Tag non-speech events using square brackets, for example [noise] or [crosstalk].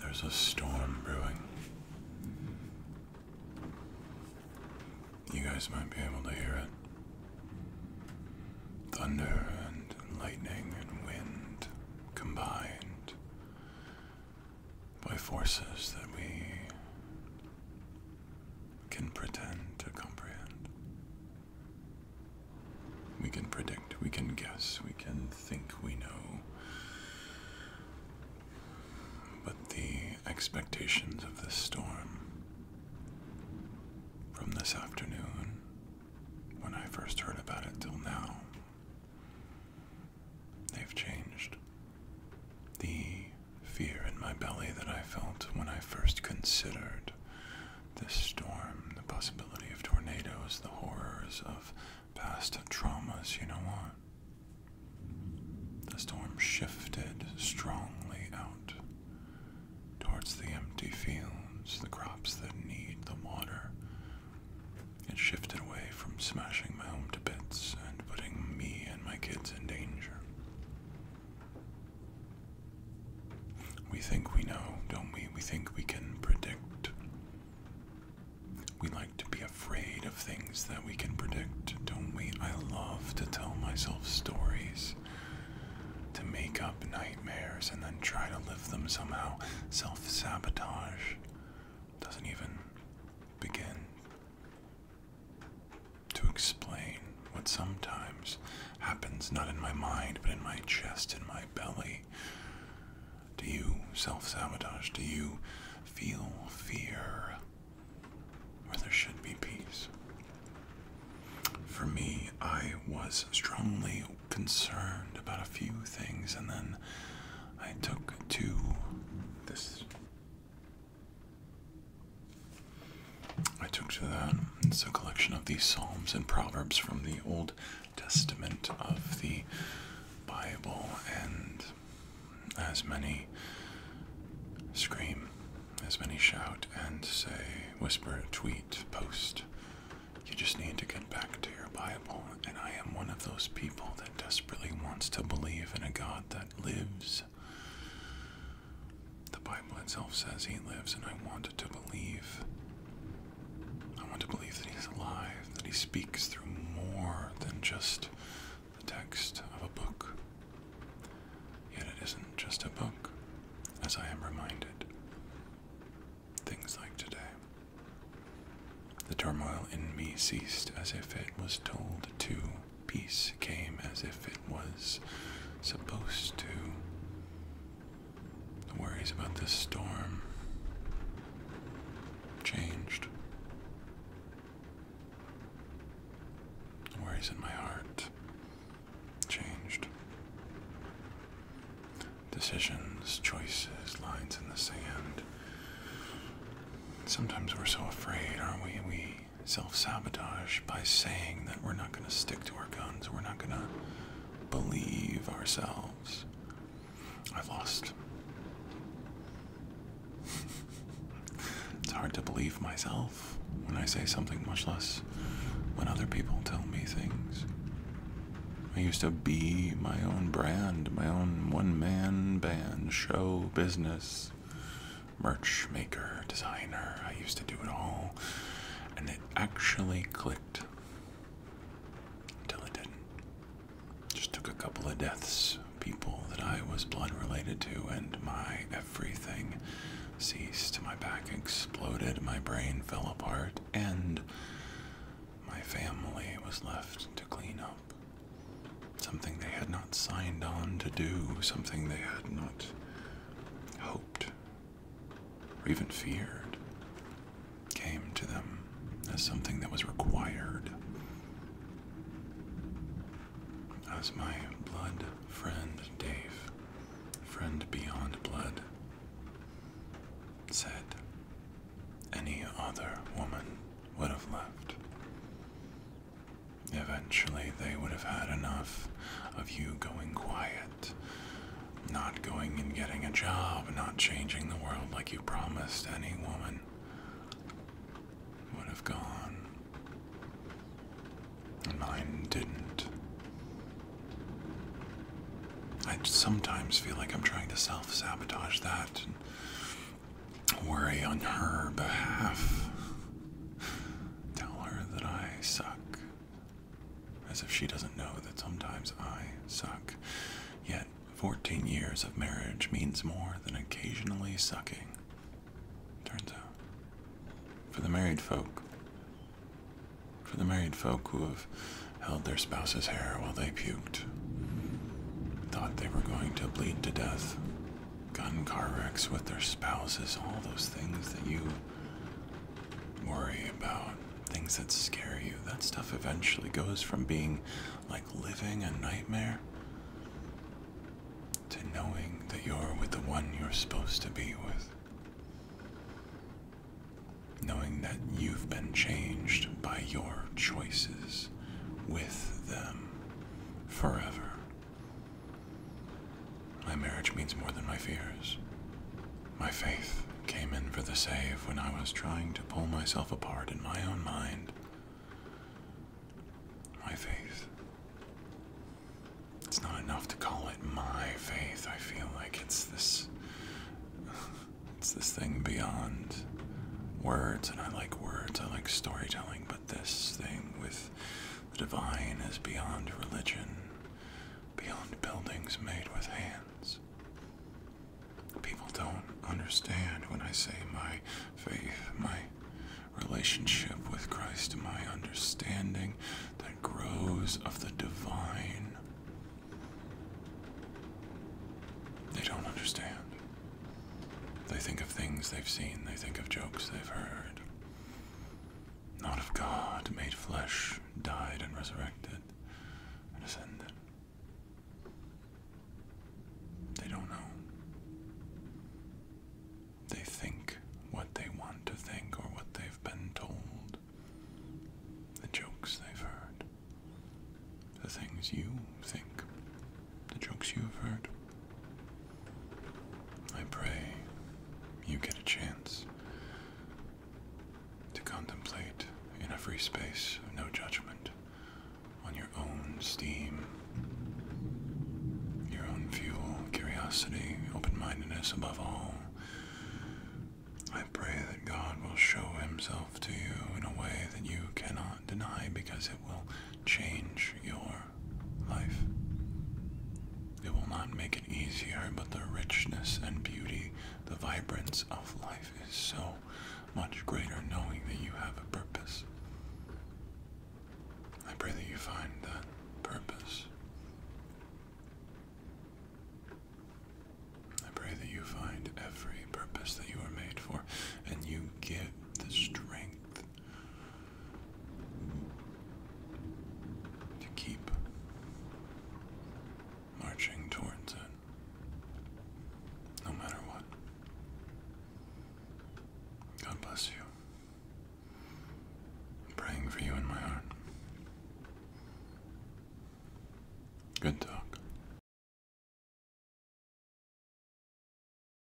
There's a storm brewing. You guys might be able to hear it. Thunder and lightning and wind combined by forces that we can pretend to comprehend. We can predict, we can guess, we can think we know. But the expectations of this storm from this afternoon, when I first heard about it till now, they've changed. The fear in my belly that I felt when I first considered this storm, the possibility of tornadoes, the horrors of past traumas, you know what? The storm shifted strongly out towards the empty fields, the crops that need the water. It shifted away from smashing my home to bits and putting me and my kids in danger. We think we know, don't we? We think we can predict we like to be afraid of things that we can predict, don't we? I love to tell myself stories, to make up nightmares and then try to live them somehow. Self sabotage doesn't even begin to explain what sometimes happens not in my mind but in my chest, in my belly. Do you self sabotage? Do you feel fear where there should be peace? For me, I was strongly concerned about a few things, and then I took to this. I took to that. It's a collection of these Psalms and Proverbs from the Old Testament of the Bible, and as many scream, as many shout and say, whisper, tweet, post. You just need to get back to your Bible, and I am one of those people that desperately wants to believe in a God that lives. The Bible itself says He lives, and I want to believe. I want to believe that he's alive, that he speaks through more than just the text of a book. Yet it isn't just a book, as I am reminded. Things like today. The turmoil in me ceased as if it was told to. Peace came as if it was supposed to. The worries about this storm changed. The worries in my heart changed. Decisions, choices, lines in the sand. Sometimes we're so afraid, aren't we? We self sabotage by saying that we're not going to stick to our guns, we're not going to believe ourselves. I lost. it's hard to believe myself when I say something, much less when other people tell me things. I used to be my own brand, my own one man band, show business, merch maker, designer. I used to do it all. And it actually clicked. Until it didn't. Just took a couple of deaths, people that I was blood related to, and my everything ceased. My back exploded, my brain fell apart, and my family was left to clean up. Something they had not signed on to do, something they had not hoped or even feared came to them as something that was required. As my blood friend Dave, friend beyond blood, said, any other woman would have left. Eventually, they would have had enough of you going quiet not going and getting a job, not changing the world like you promised any woman would have gone. And mine didn't. I sometimes feel like I'm trying to self sabotage that and worry on her behalf. Tell her that I suck. As if she doesn't know that sometimes I suck. Yet, 14 years of marriage means more than occasionally sucking. Turns out. For the married folk, for the married folk who have held their spouse's hair while they puked, thought they were going to bleed to death, gotten car wrecks with their spouses, all those things that you worry about things that scare you. That stuff eventually goes from being like living a nightmare to knowing that you're with the one you're supposed to be with. Knowing that you've been changed by your choices with them forever. My marriage means more than my fears. My faith came in for the save when I was trying to pull myself apart in my own mind. My faith. It's not enough to call it my faith. I feel like it's this. [laughs] It's this thing beyond words, and I like words, I like storytelling, but this thing with the divine is beyond religion, beyond buildings made with hands. People don't understand when I say my faith, my relationship with Christ, my understanding that grows of the divine. They don't understand. They think of things they've seen, they think of jokes they've heard not of God, made flesh, died and resurrected and ascended. They don't know. They think what they want to think or what they've been told, the jokes they've heard, the things you think, the jokes you've heard. I pray you get a chance to contemplate in a free space of no judgment on your own steam, your own fuel, curiosity, open mindedness above all. I pray that God will show Himself to you in a way that you cannot deny because it will change your life. It will not make it easier, but the richness and beauty, the vibrance of life is so much greater knowing that you have a purpose. I pray that you find that purpose. I pray that you find every purpose that you are made for and you give the strength to keep marching towards it, no matter what. God bless you. praying for you in my heart. Good talk.